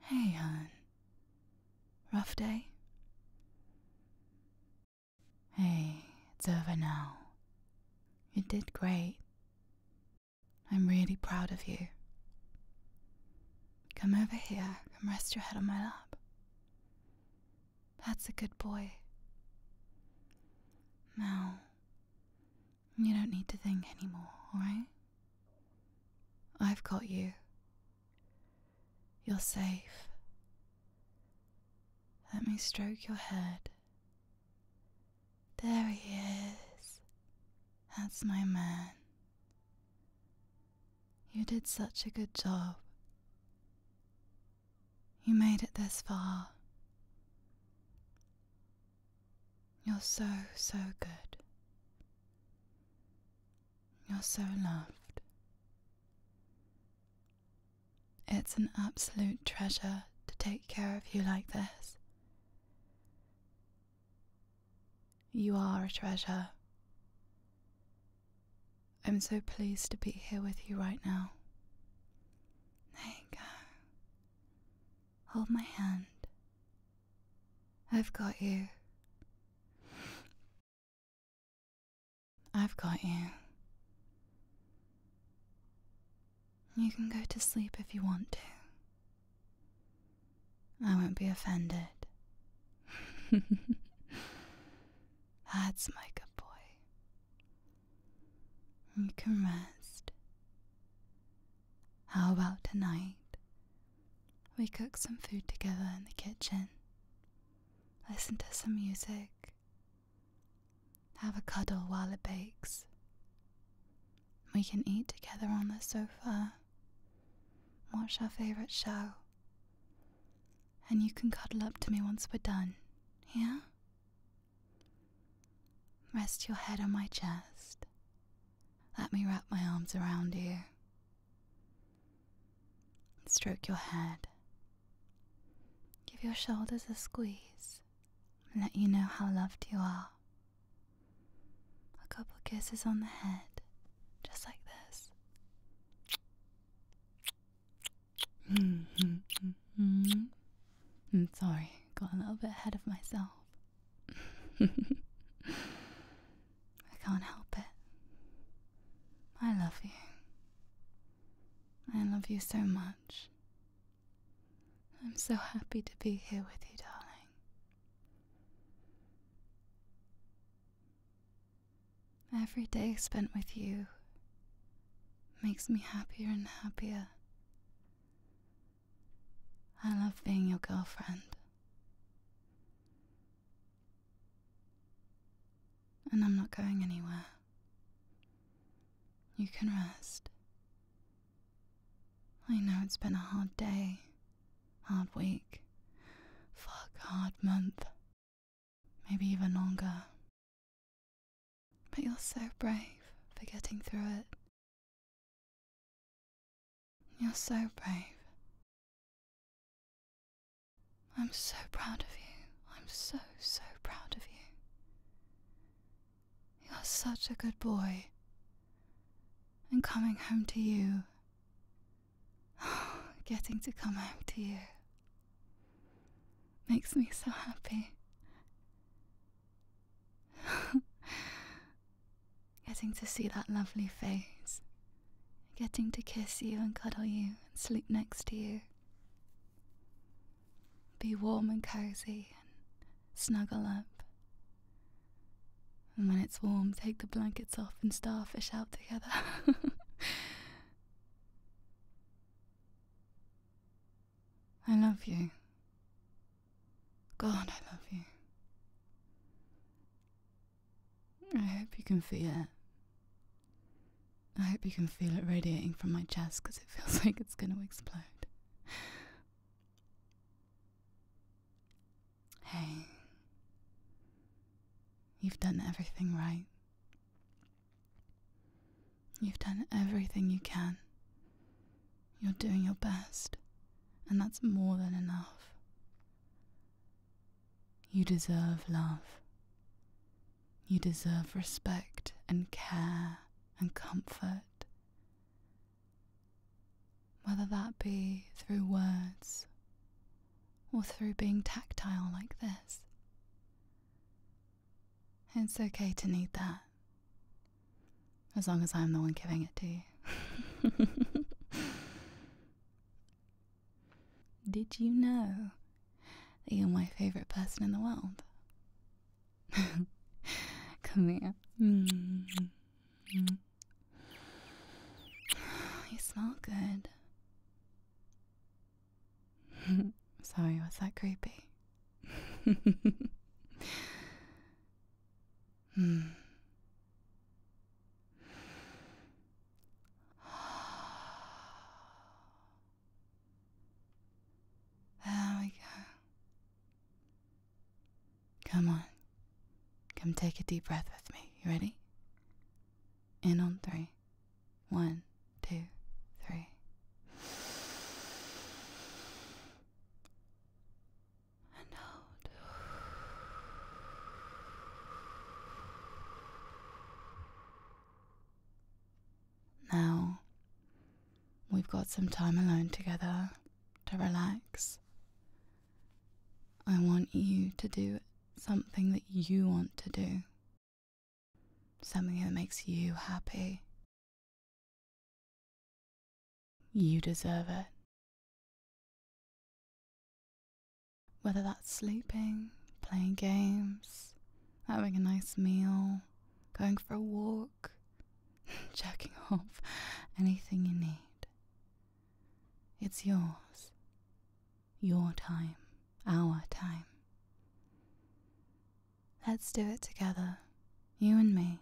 Hey, hon. Rough day? Hey, it's over now. You did great. I'm really proud of you. Come over here, come rest your head on my lap. That's a good boy. Now, you don't need to think anymore, alright? I've got you. You're safe. Let me stroke your head. There he is. That's my man. You did such a good job. You made it this far. You're so, so good. You're so loved. It's an absolute treasure to take care of you like this. You are a treasure. I'm so pleased to be here with you right now. There you go. Hold my hand I've got you. I've got you. You can go to sleep if you want to. I won't be offended. That's my good boy. You can rest. How about tonight? We cook some food together in the kitchen, listen to some music, have a cuddle while it bakes. We can eat together on the sofa, watch our favorite show, and you can cuddle up to me once we're done, yeah? Rest your head on my chest let me wrap my arms around you. Stroke your head. Give your shoulders a squeeze and let you know how loved you are. A couple kisses on the head, just like this. I'm mm-hmm. mm-hmm. mm-hmm. mm, sorry got a little bit ahead of myself. I can't help it. I love you. I love you so much. I'm so happy to be here with you, darling. Every day spent with you makes me happier and happier. I love being your girlfriend. And I'm not going anywhere. You can rest. I know it's been a hard day, hard week, fuck, hard month, maybe even longer. But you're so brave for getting through it you're so brave. I'm so proud of you. I'm so, so proud of you. You're such a good boy. And coming home to you. getting to come home to you. Makes me so happy. Getting to see that lovely face. Getting to kiss you and cuddle you and sleep next to you. Be warm and cozy and snuggle up. And when it's warm, take the blankets off and starfish out together. I love you. God, I love you. I hope you can feel it. I hope you can feel it radiating from my chest because it feels like it's going to explode. Hey, you've done everything right. You've done everything you can. You're doing your best, and that's more than enough. You deserve love. You deserve respect and care and comfort. Whether that be through words or through being tactile like this. It's okay to need that. As long as I'm the one giving it to you. Did you know that you're my favorite person in the world? Come here. You smell good. Sorry, was that creepy? Hmm. There we go. Come on. Come take a deep breath with me. You ready? In on three. One two, three. And out. Now we've got some time alone together to relax. I want you to do something that you want to do Something that makes you happy. You deserve it. Whether that's sleeping, playing games, having a nice meal, going for a walk, checking off, anything you need. It's yours. Your time, our time. Let's do it together, you and me.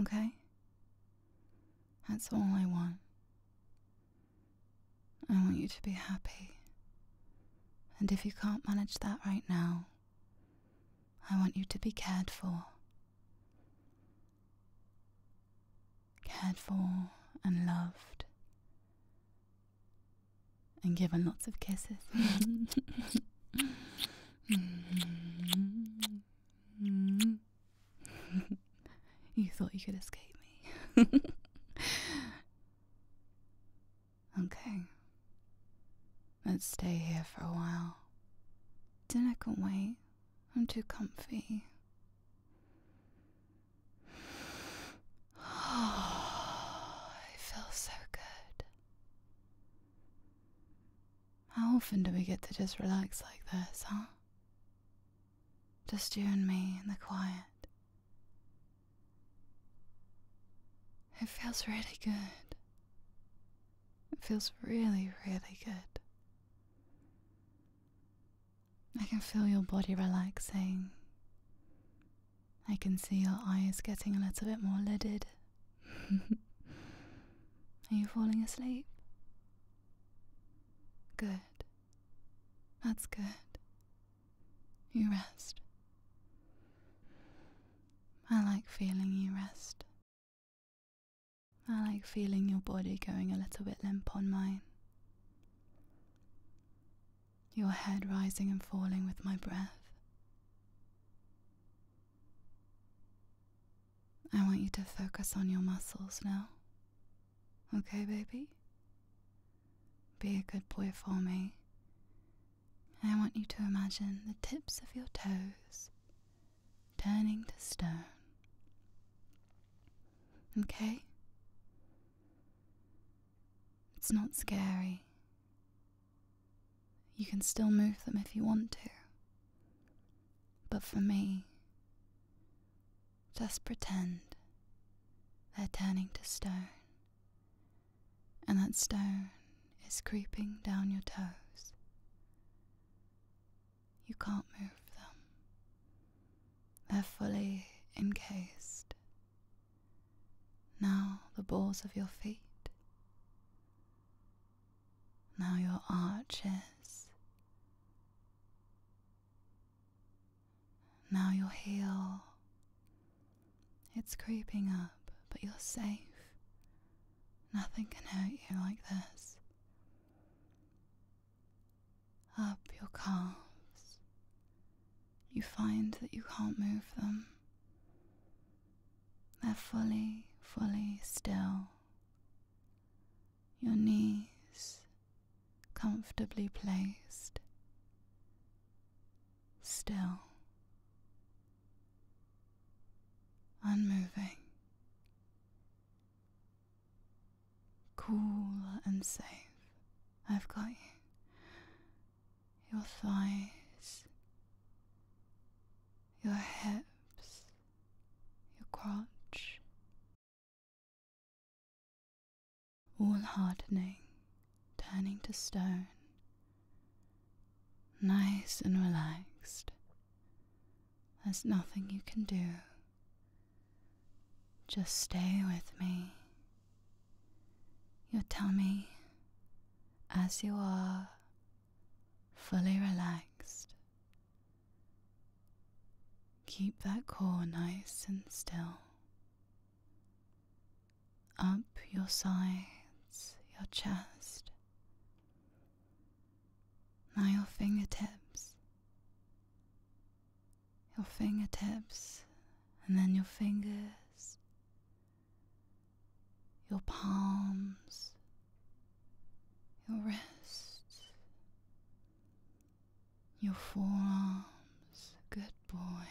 Okay? That's all I want. I want you to be happy. And if you can't manage that right now, I want you to be cared for. Cared for and loved and given lots of kisses. you thought you could escape me. okay. Let's stay here for a while. Dinner can wait. I'm too comfy. it feels so good. How often do we get to just relax like this, huh? Just you and me in the quiet. It feels really good. It feels really, really good. I can feel your body relaxing. I can see your eyes getting a little bit more lidded. Are you falling asleep? Good. That's good. You rest. I like feeling you rest. I like feeling your body going a little bit limp on mine your head rising and falling with my breath. I want you to focus on your muscles now. Okay, baby? Be a good boy for me. I want you to imagine the tips of your toes turning to stone. Okay? It's not scary. You can still move them if you want to. But for me, just pretend they're turning to stone, and that stone is creeping down your toes. You can't move them, they're fully encased now the balls of your feet. Now your arches. Now your heel. It's creeping up, but you're safe. Nothing can hurt you like this up your calves. You find that you can't move them. They're fully, fully still. Your knees comfortably placed. Still. Unmoving. Cool and safe. I've got you. Your thighs, your hips, your crotch. All hardening, turning to stone. Nice and relaxed. There's nothing you can do. Just stay with me. You tell me, as you are, fully relaxed. Keep that core nice and still. Up your sides, your chest. Now your fingertips your fingertips, and then your fingers, your palms, your wrists, your forearms. Good boy,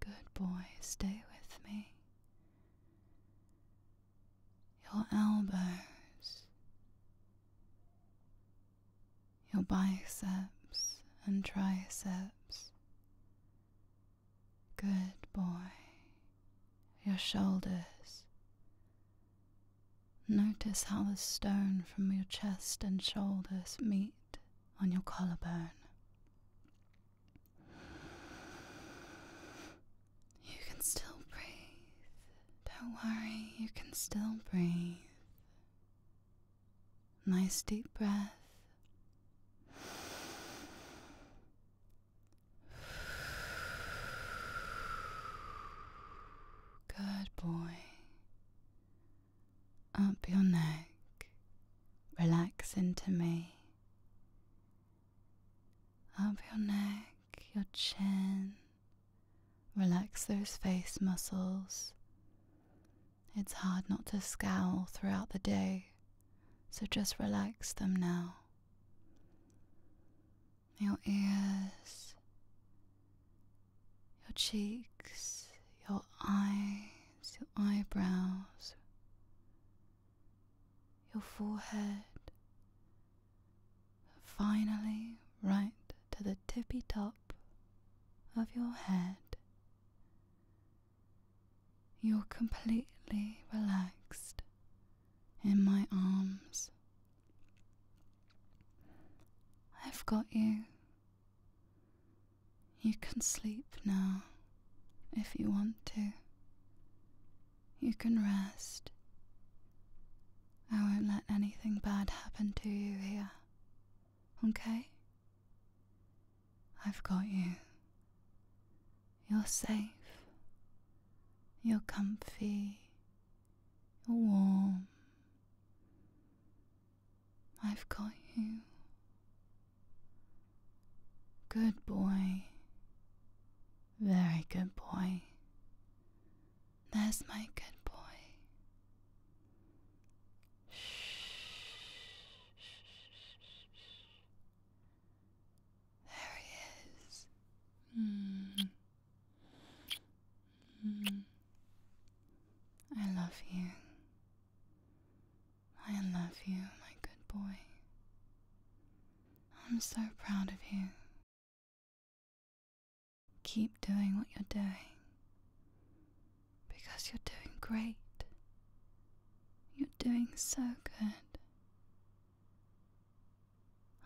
good boy, stay with me. Your elbows, your biceps and triceps. Good boy. Your shoulders. Notice how the stone from your chest and shoulders meet on your collarbone. You can still breathe. Don't worry, you can still breathe. Nice deep breath. Good boy. Up your neck. Relax into me. Up your neck, your chin. Relax those face muscles. It's hard not to scowl throughout the day, so just relax them now. Your ears, your cheeks, your eyes, your eyebrows, your forehead, finally right to the tippy top of your head. You're completely relaxed in my arms. I've got you. You can sleep now if you want to. You can rest I won't let anything bad happen to you here. Okay? I've got you. You're safe. You're comfy. You're warm. I've got you. Good boy. Very good boy. There's my good boy. There he is. Mm. Mm. I love you. I love you, my good boy. I'm so proud of you. Keep doing what you're doing because you're doing great. You're doing so good.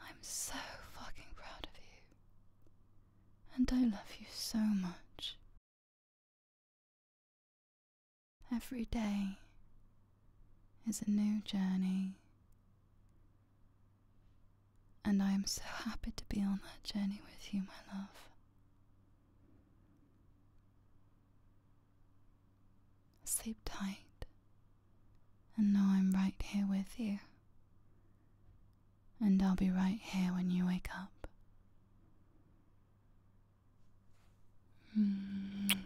I'm so fucking proud of you. And I love you so much. Every day is a new journey and I am so happy to be on that journey with you, my love. Sleep tight and know I'm right here with you. And I'll be right here when you wake up. Mm.